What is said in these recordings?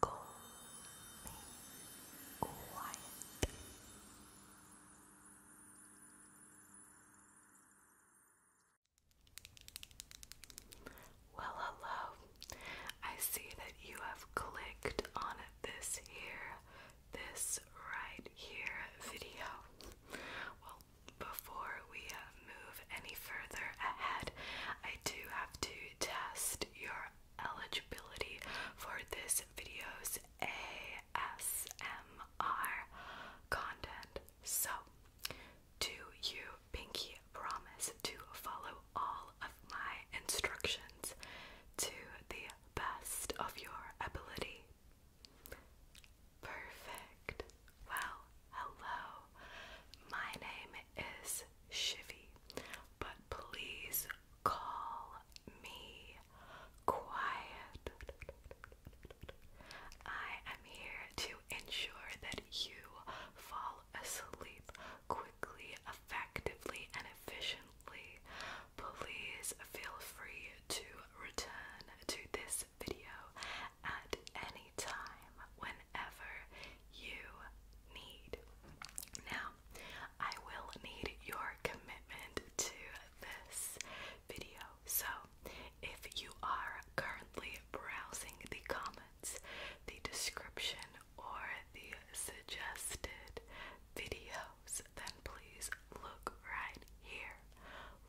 Call me Well, hello. I see that you have clicked on this here, this right here video. Well, before we move any further ahead, I do have to test your eligibility for this video's ASMR content. So, do you pinky promise to follow all of my instructions to the best of your ability? Perfect. Well, Hello, my name is Shivy, but please call me Quiet. I am here to ensure that you fall asleep quickly, effectively, and efficiently. Please feel free to return to this video at any anytime, whenever you need. Now, I will need your commitment to this video. So, if you are currently browsing the comments, the description, or the suggested videos, then please look right here.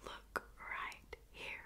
Look right here.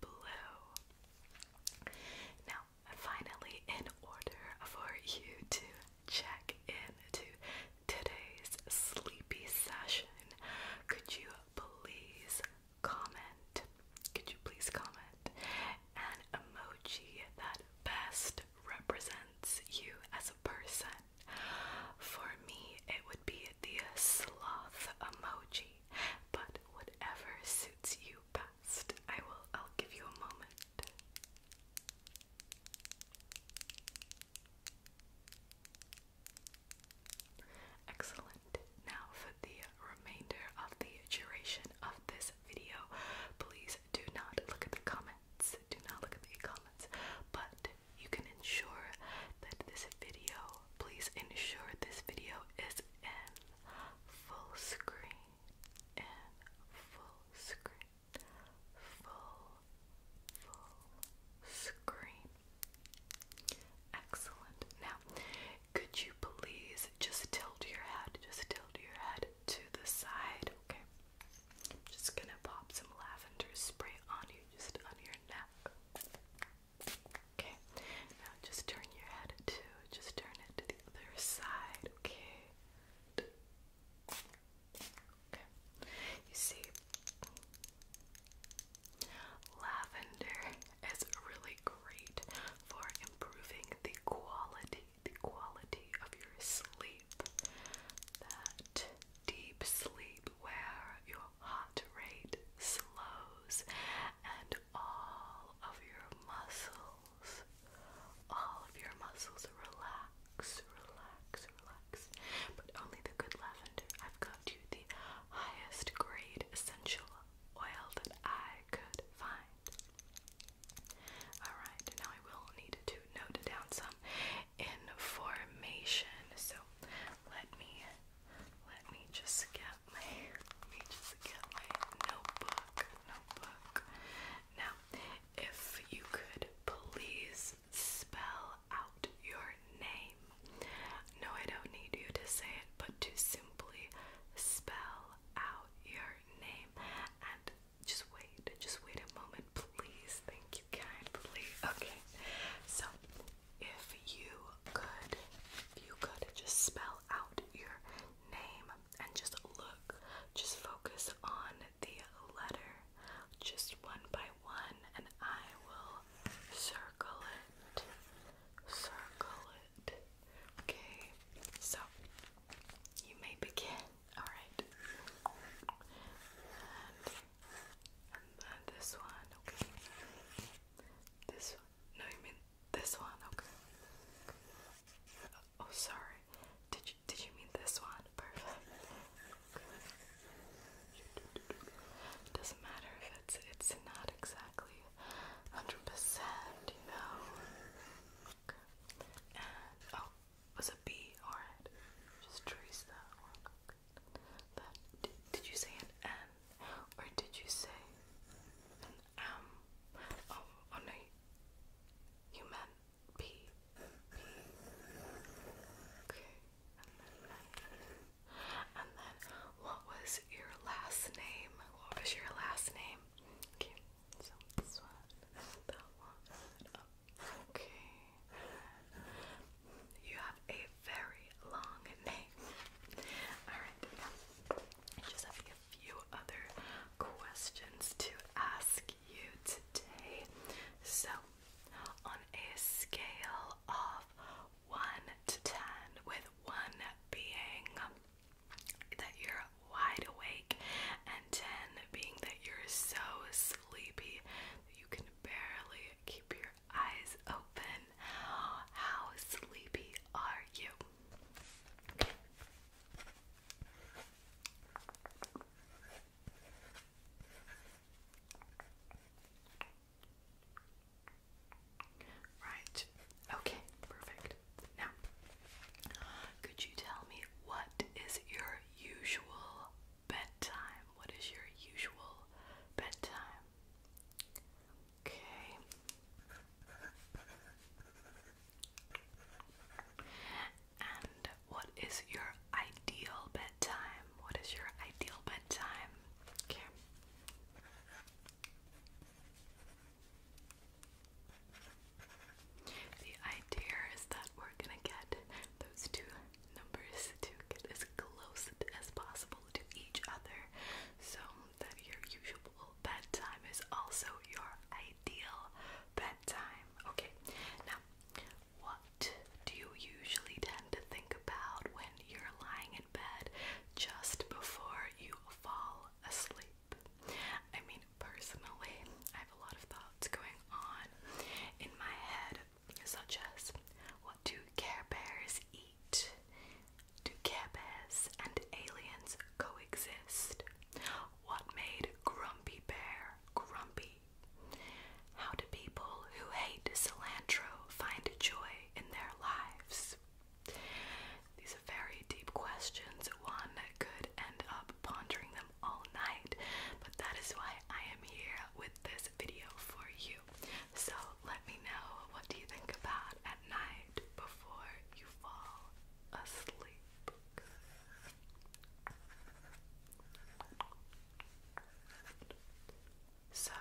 blue. Now, finally, in order for you to check into today's sleepy session, could you please comment? Could you please comment an emoji that best represents you as a person? For me, it would be the sloth emoji but whatever suits you best. I will I'll give you a moment. Excellent. Now for the remainder of the duration of this video, please do not look at the comments. Do not look at the comments, but you can ensure that this video, please ensure this video is in full screen, in full screen, full, full screen. Excellent. Now, could you please just tilt your head, just tilt your head to the side, okay? just gonna pop some lavender spray on you, just on your neck. Okay, now just turn your head too. Just turn it to the other side, Okay, you see, lavender is really great for improving the quality, the quality of your sleep. That deep sleep where your heart rate slows and all of your muscles, all of your muscles relax, relax, relax. But only the good lavender. I've got you the highest grade essential oil that I could find. Alright, now I will need to note down some information. So let me let me just get my notebook. Notebook. Now, if you could please spell out your name. No, I don't need you to say it, but to simply spell out your name and just wait, just wait a moment, please. Thank you kindly. Okay, so if you could, you could just spell out your name and just look, just focus on the letter just one by one, and I will circle it, circle it. Okay, so you may begin. All right, and this one, okay. This one. No, you mean this one, okay. Oh, sorry. Did you did you mean this one? Perfect. It doesn't matter if it's it's not exactly 100%, you know. And oh, was a B, alright. Just trace that one did, you say an N or did you say an M? Oh, oh no, you meant P. P. Okay, and then what was your last name? What was your last name? okay. You have a very long name. Alright, just a few other questions to ask you today. So, on a scale of 1 to 10, with 1 being that you're wide awake and 10 being that you're so sleepy that you can barely keep your eyes open. How sleepy are you? Right. Okay, perfect. Now, could you tell me what is your usual bedtime? What is your usual bedtime? Okay. And what is your ideal bedtime? What is your ideal bedtime? Okay. The idea is that we're gonna get those two Numbers to get as close as possible to each other so that your usual bedtime is also your ideal bedtime. Okay, now what do you usually tend to think about when you're lying in bed just before you fall asleep? I mean, personally, I have a lot of thoughts going on in my head such as what do Care Bears eat? Do Care Bears and aliens coexist? What made Grumpy Bear grumpy? How do people who hate cilantro find joy in their lives? These are very deep questions. One could end up pondering them all night, but that is why I am here with this video for you. So let me know what do you think about at night before you fall asleep. So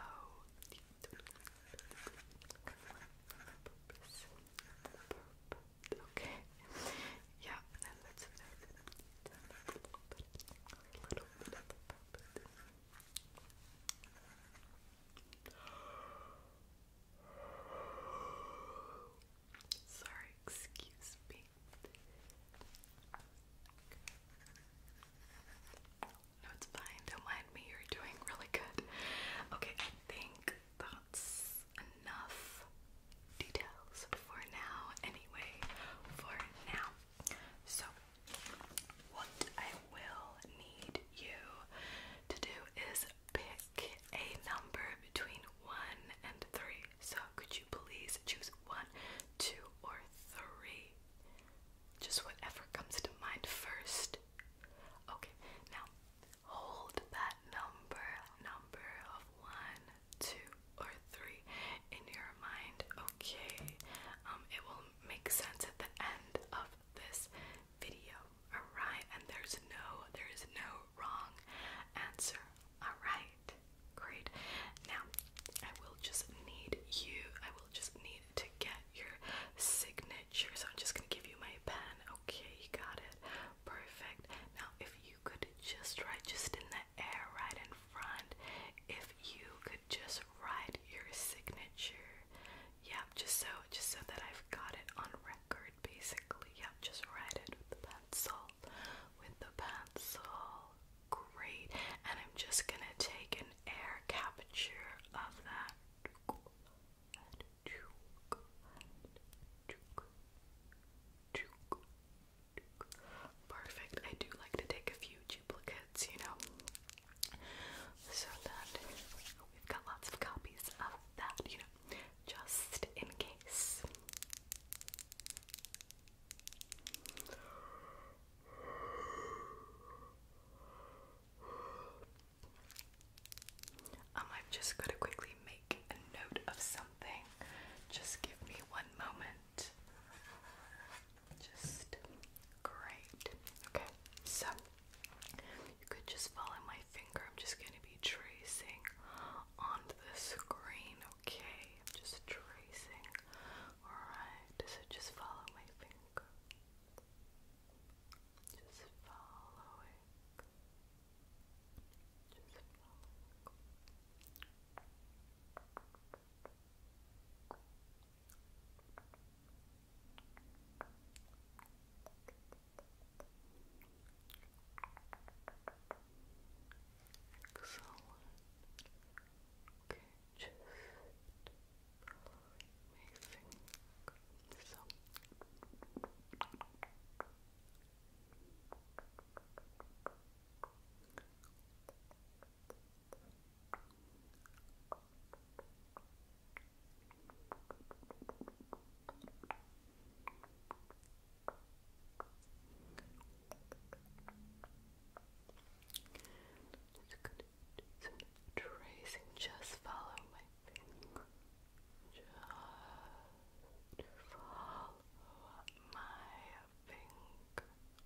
Okay. Yeah, Sorry, excuse me. No, it's fine. Don't mind me. You're doing really good. Okay, I think that's enough details for now. Anyway, for now. So, what I will need you to do is pick a number between 1 and 3. So could you please choose 1, 2, or 3? Just whatever comes to mind first. Okay, now hold that number, number of 1, 2, or three in your mind. Okay, um, it will make sense at the end of this video. Alright, and there's no, there is no wrong answer. Alright, great. Now, I will just need you, I will just need to get your signature. So I'm just gonna give you my pen. Okay, you got it. Perfect. Now, if you could just write just in the air right if you could just write your signature. Yeah, just so just so that I've got it on record basically. Yeah, just write it with the pencil. With the pencil. Great. And I'm just gonna take an air capture of that. Perfect. I do like to take a few duplicates, you know, so that we've got lots of copies of that, you know, just in case. Um, I've just got to quickly make a note of something. Just give me one moment. Just great. Okay, so you could just follow my finger. I'm just going to be tracing on the screen, okay? just tracing. Alright, so just follow my finger. Just follow Just follow Excellent. Okay, just amazing. So Okay. Just going tracing. Just follow my finger. Just follow my finger.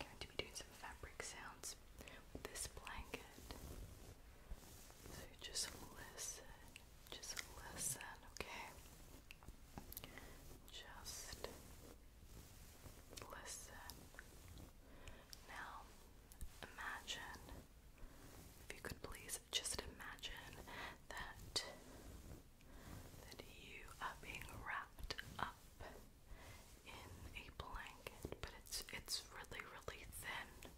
going to be doing some fabric sounds with this blanket. So just listen, just listen, okay? Just listen. Now, imagine, if you could please just imagine that that you are being wrapped up in a blanket, but it's it's really really thin.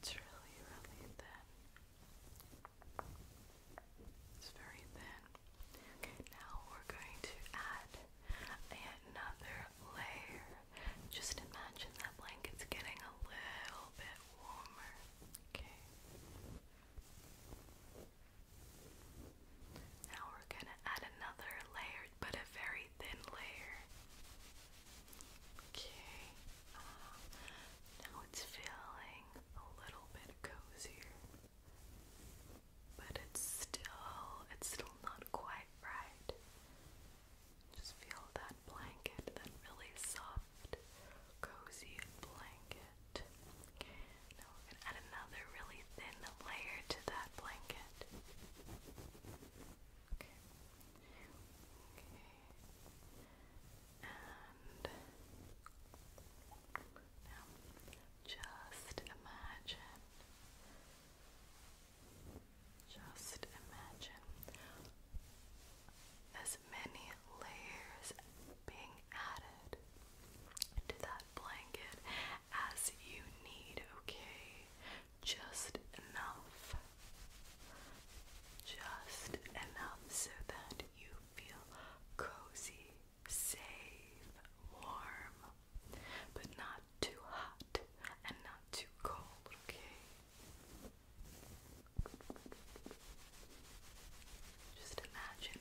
It's really really thin. It's very thin. Okay, now we're going to add another layer. Just imagine that blanket's getting a little bit warmer. Okay. Now we're gonna add another layer, but a very thin layer. Okay, uh, now it's feeling a little bit cozier, but it's still it's still not quite right. Just feel that blanket, that really soft, cozy blanket blanket. Now we're going to add another really thin layer to that blanket. Okay. Okay. And now just imagine. Just imagine as many layers being added to that blanket as you need, okay? Just enough. Just enough so that you feel cozy, safe, warm, but not too hot and not too cold, okay? Just imagine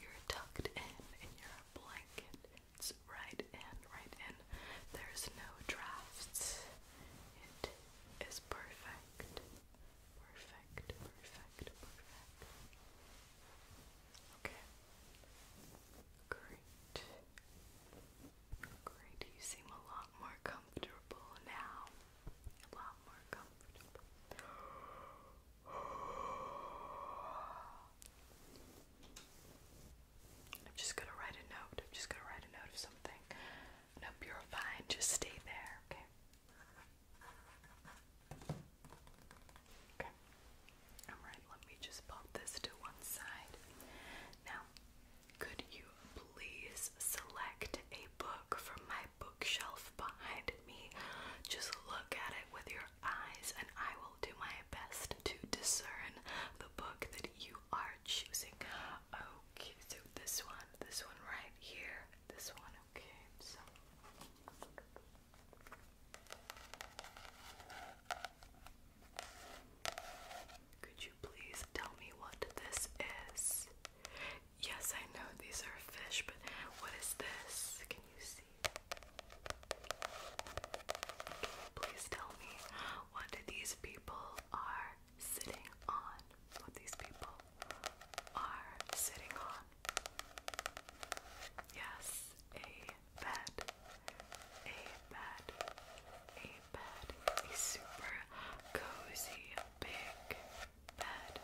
you're tucked in in your blanket. It's right in, right in. There's no drafts. It is perfect. Perfect, perfect, perfect. Okay. Great. Great. You seem a lot more comfortable now. A lot more comfortable. I'm just gonna write a note. I'm just gonna write a note of something. Nope, you're fine. Just stay there, okay? Okay. Alright, let me just pop this to one side. Now, could you please select a book from my bookshelf behind me. Just look at it with your eyes, and I will do my best to discern the book that you are choosing. Okay, so this one, this one right here, this one, okay, so. Could you please tell me what this is? Yes, I know these are fish, but what is this? Can you see? please tell me what these people are sitting on? What these people are sitting on? Yes, a bed. A bed. A bed. A super cozy big bed.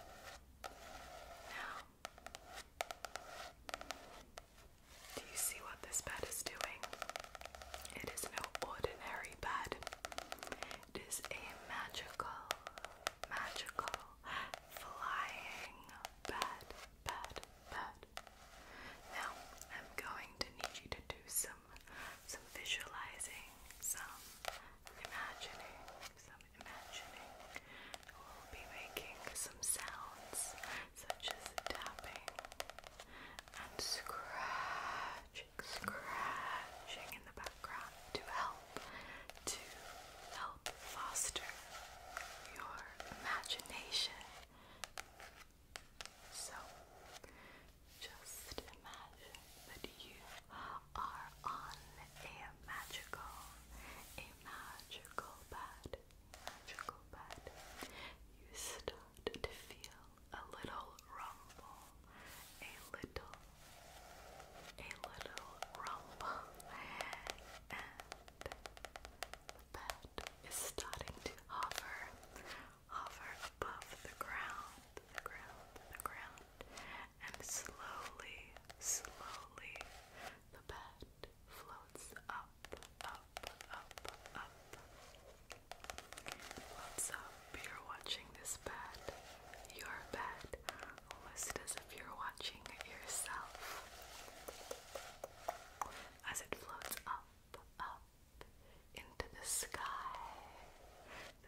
Now, do you see what this bed is doing? It is no ordinary bed. It is a magical, magical, flying bed, bed, bed. Now, I'm going to need you to do some some visualizing, some imagining, some imagining we'll be making some sounds such as tapping and scratch, scratching in the background to help to help foster your imagination. So just imagine that you are on a magical, a magical bed, magical bed. You start to feel a little rumble, a little, a little rumble, and the bed is starting to hover, hover above the ground, ground, ground and slowly, slowly the bed floats up, up, up, up. What's up? You're watching this bed, your bed, almost as if you're watching yourself. As it floats up, up into the sky,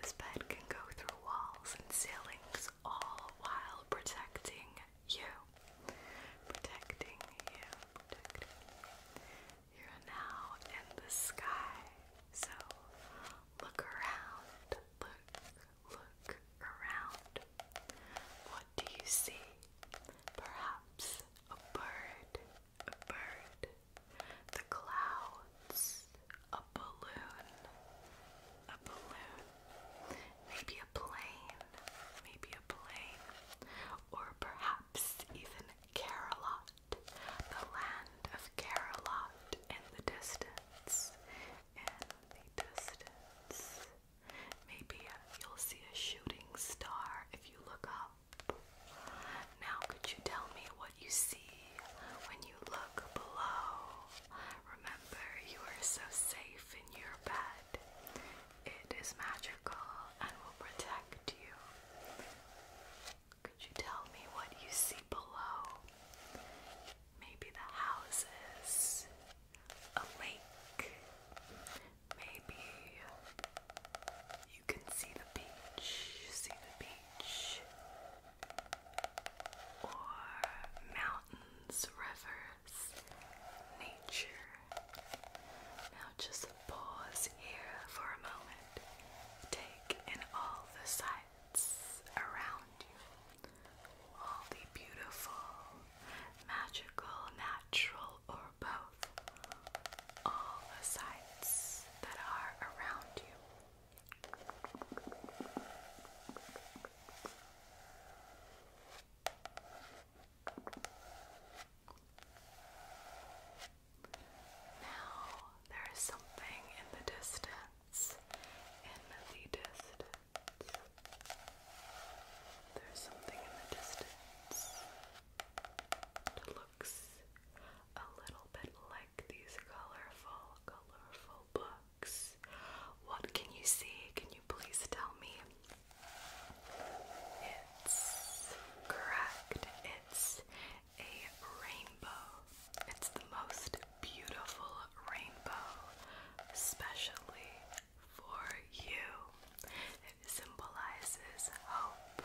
this bed can go through walls and ceilings, all while protecting you. Protecting you, protecting you. You're now in the sky, so look around. Look, look around. What do you see? Perhaps a bird, a bird. The clouds a balloon, a balloon, maybe a plane, maybe a plane, or perhaps even Carolot, the land of Carolot in the distance, in the distance. Maybe you'll see a shooting star if you look up. Now, could you tell me what you see when you look below? Remember, you are so safe in your bed. It is magical and will protect you. Could you tell me what you see below? Maybe the houses, a lake, maybe you can see the beach, see the beach or mountains, rivers, nature. Now just pause here for a moment. Take in all the sights around you, all the beautiful, magical, natural, or both, all the sights that are around you. Now there is something in the distance. In the distance. There's something in the distance that looks a little bit like these colorful, colorful books. What can you see? Can you please tell me? It's correct. It's a rainbow. It's the most beautiful rainbow, especially for you. It symbolizes hope,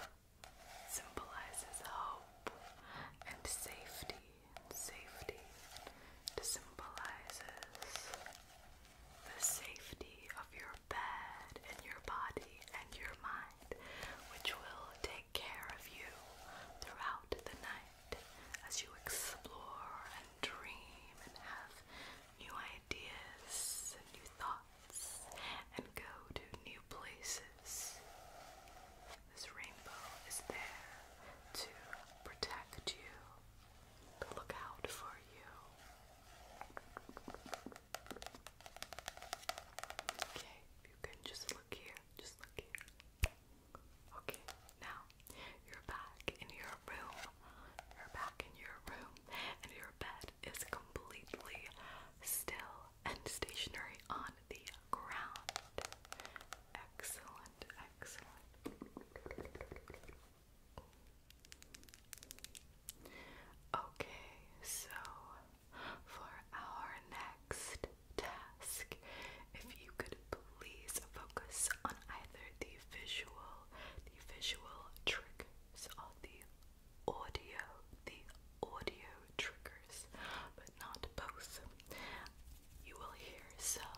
symbolizes hope and safety and safety. symbolizes the safety of your bed and your body and your mind, which will take care of you throughout the night as you explore and dream and have new ideas and new thoughts and go to new places. This rainbow is there to protect you, to look out for you. Okay, you can just look here, just look here. Okay, now you're back in your room. You're back in your room, and your bed is completely still and stationary on the ground. Excellent, excellent. Okay, so for our next task, if you could please focus on either the visual, the visual triggers or the audio, the audio triggers but not both. You will hear some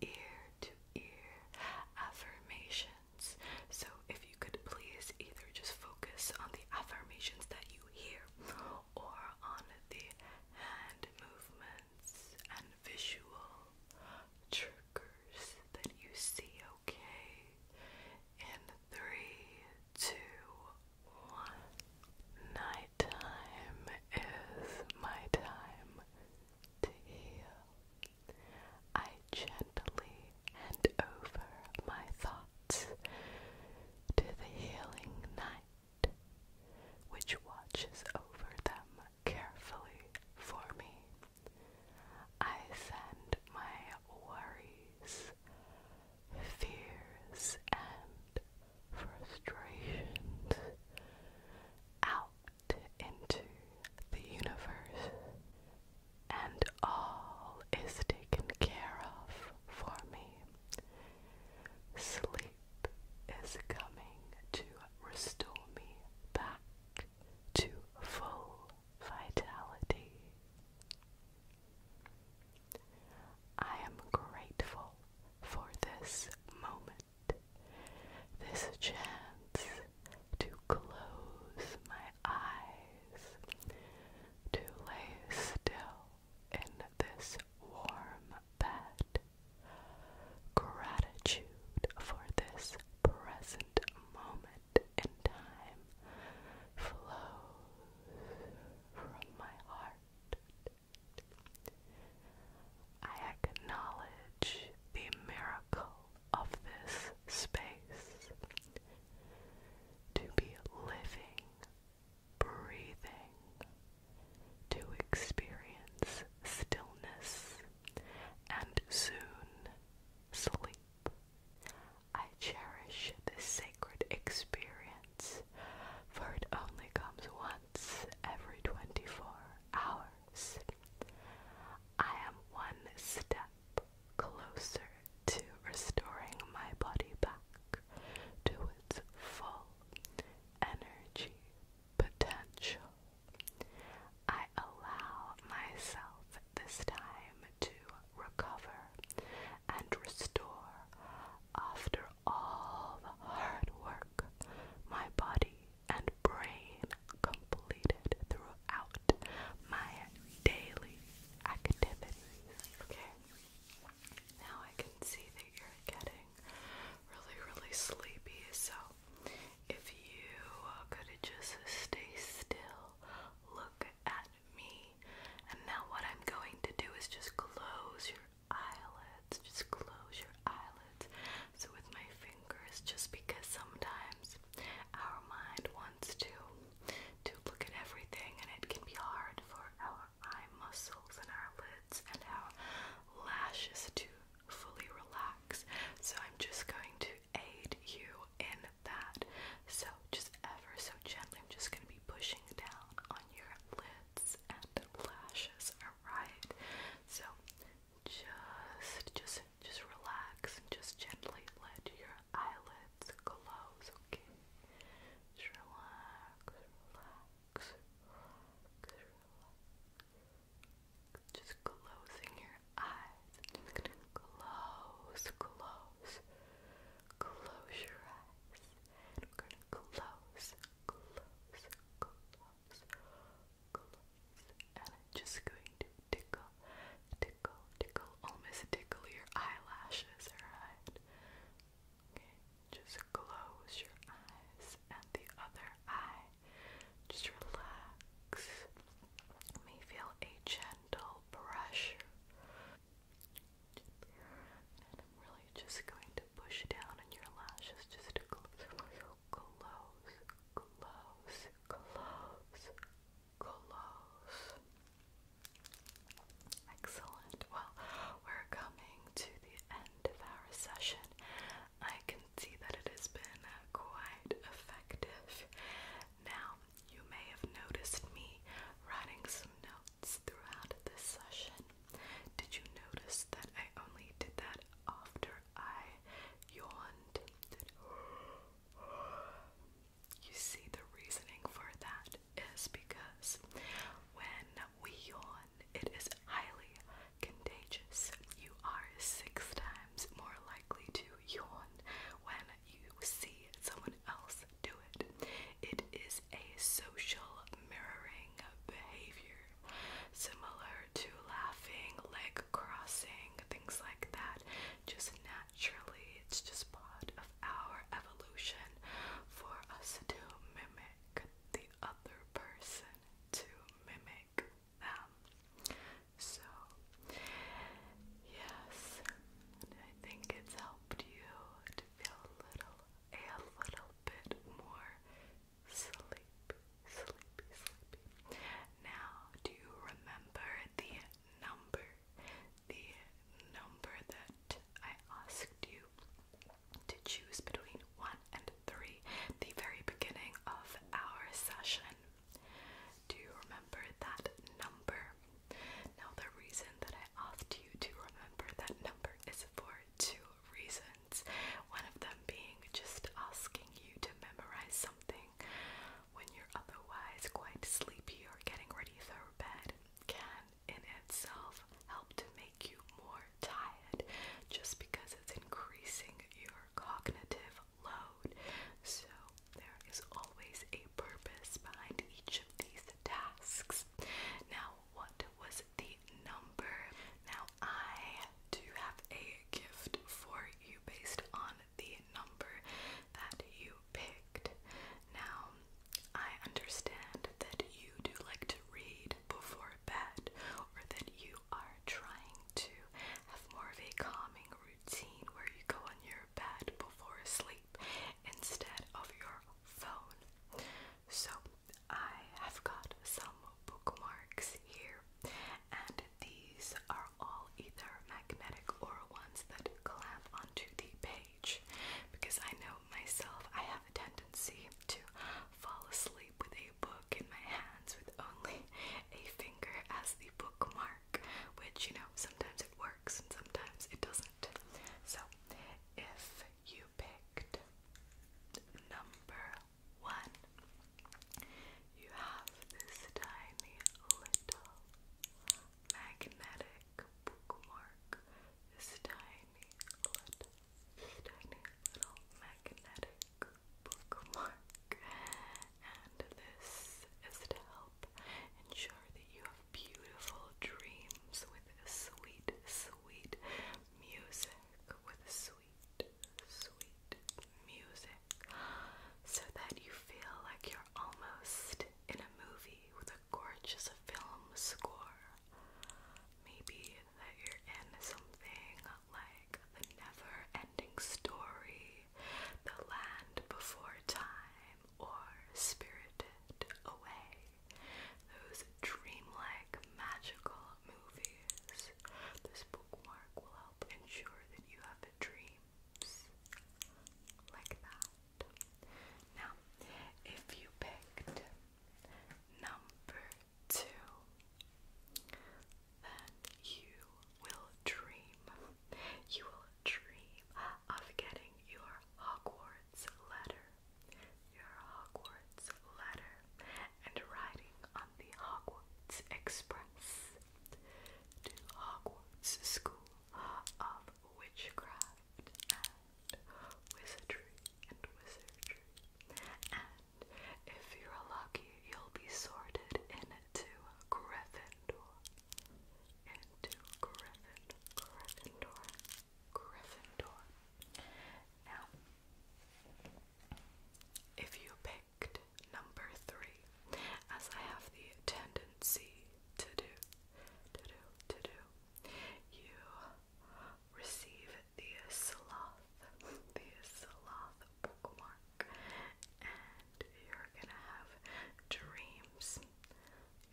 ear to ear affirmations. So, if you could please either just focus on the affirmations that you hear or on the hand movements and visual triggers that you see, okay? In three, two, Nighttime is my time to heal. I gently hand over my thoughts to the healing night, which watches over them carefully for me. I send my worries, fears, and frustrations out into the universe, and all is taken care of for me. Sleep is coming to restore me back to full vitality. I am grateful for this moment, this chance to close my eyes, to lay still in this warm bed. Gratitude for this present moment in time flows from my heart I acknowledge the miracle of this space to be living, breathing, to experience stillness and soon sleep. I cherish this sacred experience, for it only comes once every 24 hours. I am one step closer to restoring my body back to its full energy potential. I allow myself this time to recover and restore after all the hard work my body and brain completed throughout my daily activities. Okay, now I can see that you're getting really, really sleepy, so if you could just stay still, look at me, and now what I'm going to do is just close your eyelids. Just close your eyelids. So, with my fingers, just because sometimes our mind wants to to look at everything, and it can be hard for our eye muscles and our lids and our lashes to fully relax. So, I'm just going to aid you in that. So, just ever so gently, I'm just going to be pushing down your lids and lashes, alright? So just just just relax and just gently let your eyelids close, okay? relax, relax, Just closing your eyes. close, close, close your eyes. we're gonna close, close, just going to tickle, tickle, tickle, almost tickle your eyelashes, alright? Okay, just close your eyes and the other eye. Just relax. You may feel a gentle pressure and I'm really just going to push down on your lashes just to close, close, close, close, close. Excellent. Well, we're coming to the end of our session. I can see that it has been uh, quite effective. Now, you may have noticed me writing some notes this throughout this session. Did you notice that I only did that after I yawned? Did... You see, the reasoning for that is because when we yawn, it is highly contagious. You are six times more likely to yawn when you see someone else do it. It is a social mirroring behavior similar to laughing, leg crossing, things like that. Just naturally, it's just part of our evolution for us to mimic the other person, to mimic them. So, yes, I think it's helped you feel a little, a little bit more sleepy, sleepy, sleepy. Now, do you remember the number, the number that I asked you to choose between one and three, the very beginning of our session? Do you remember that number? Now, the reason that I asked you to remember that number is for two reasons. One of them being just asking you to memorize something when you're otherwise quite sleepy or getting ready for bed can in itself help to make you more tired just because it's increasing your cognitive load. So there is always a purpose behind each of these tasks. Now, what was the number? Now, I do have a gift for you based on the number that you picked. Now, I understand that you do like to read before bed or that you are trying to have more of a calming routine where you go on your bed before sleep instead of your phone. So I have got some bookmarks here, and these are all either magnetic or ones that clamp onto the page because I know myself I have a tendency to fall asleep with a book in my hands with only a finger as the bookmark, which you know sometimes it works and sometimes it doesn't. So if you picked number one. You have this tiny little magnetic bookmark. This tiny little, tiny little magnetic bookmark. And this is to help ensure that you beautiful dreams with sweet, sweet music, with sweet, sweet music, so that you feel like you're almost in a movie with a gorgeous film score. Maybe that you're in something like the never ending story, The Land Before Time, or Spirited Away those dreamlike, magical movies. This bookmark will help ensure that you have dreams like that. Now, if you picked number two, then you will dream. You will dream of getting your Hogwarts letter your Hogwarts letter and riding on the Hogwarts Express to Hogwarts School of Witchcraft and Wizardry and if you're lucky, you'll be sorted into Gryffindor. Into Gryffindor. Gryffindor. Gryffindor. Now, if you picked number three, as I have the tendency to do, to do, to do, you receive the sloth, the sloth bookmark, and you're gonna have dreams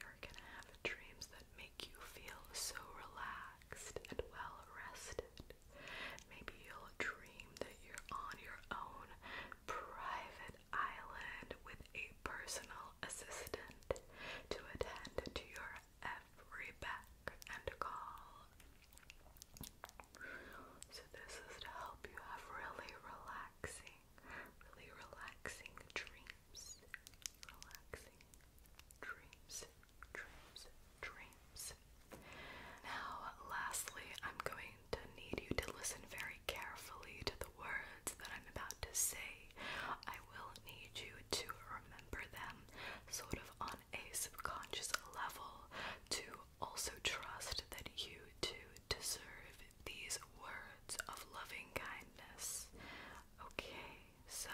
you're gonna have dreams that make you feel so relaxed and well rested. Maybe you'll dream that you're on your own private island with a personal assistant to attend to your every beck and call. So, this is to help you have really relaxing, really relaxing dreams dreams, relaxing dreams, dreams, dreams. Now, lastly, I'm going to need you to listen very carefully to the words that I'm about to say. I will need you to remember them sort of on a subconscious level to also trust that you too deserve these words of loving kindness. Okay, so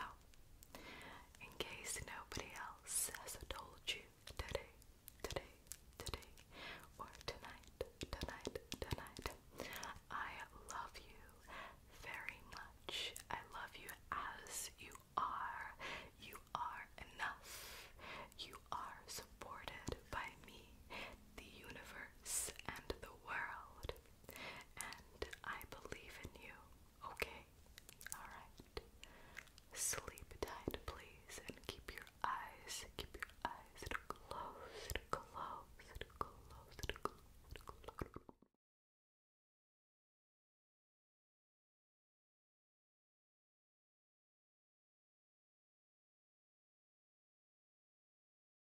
in case nobody else has told you today, today, today, or tonight, tonight, tonight, I love you very much. I love you as you are. You are enough. You are supported by me, the universe, and the world and I believe in you, okay? Alright. Sleep tight, please, and keep your eyes, keep your eyes closed, closed, closed, closed, closed.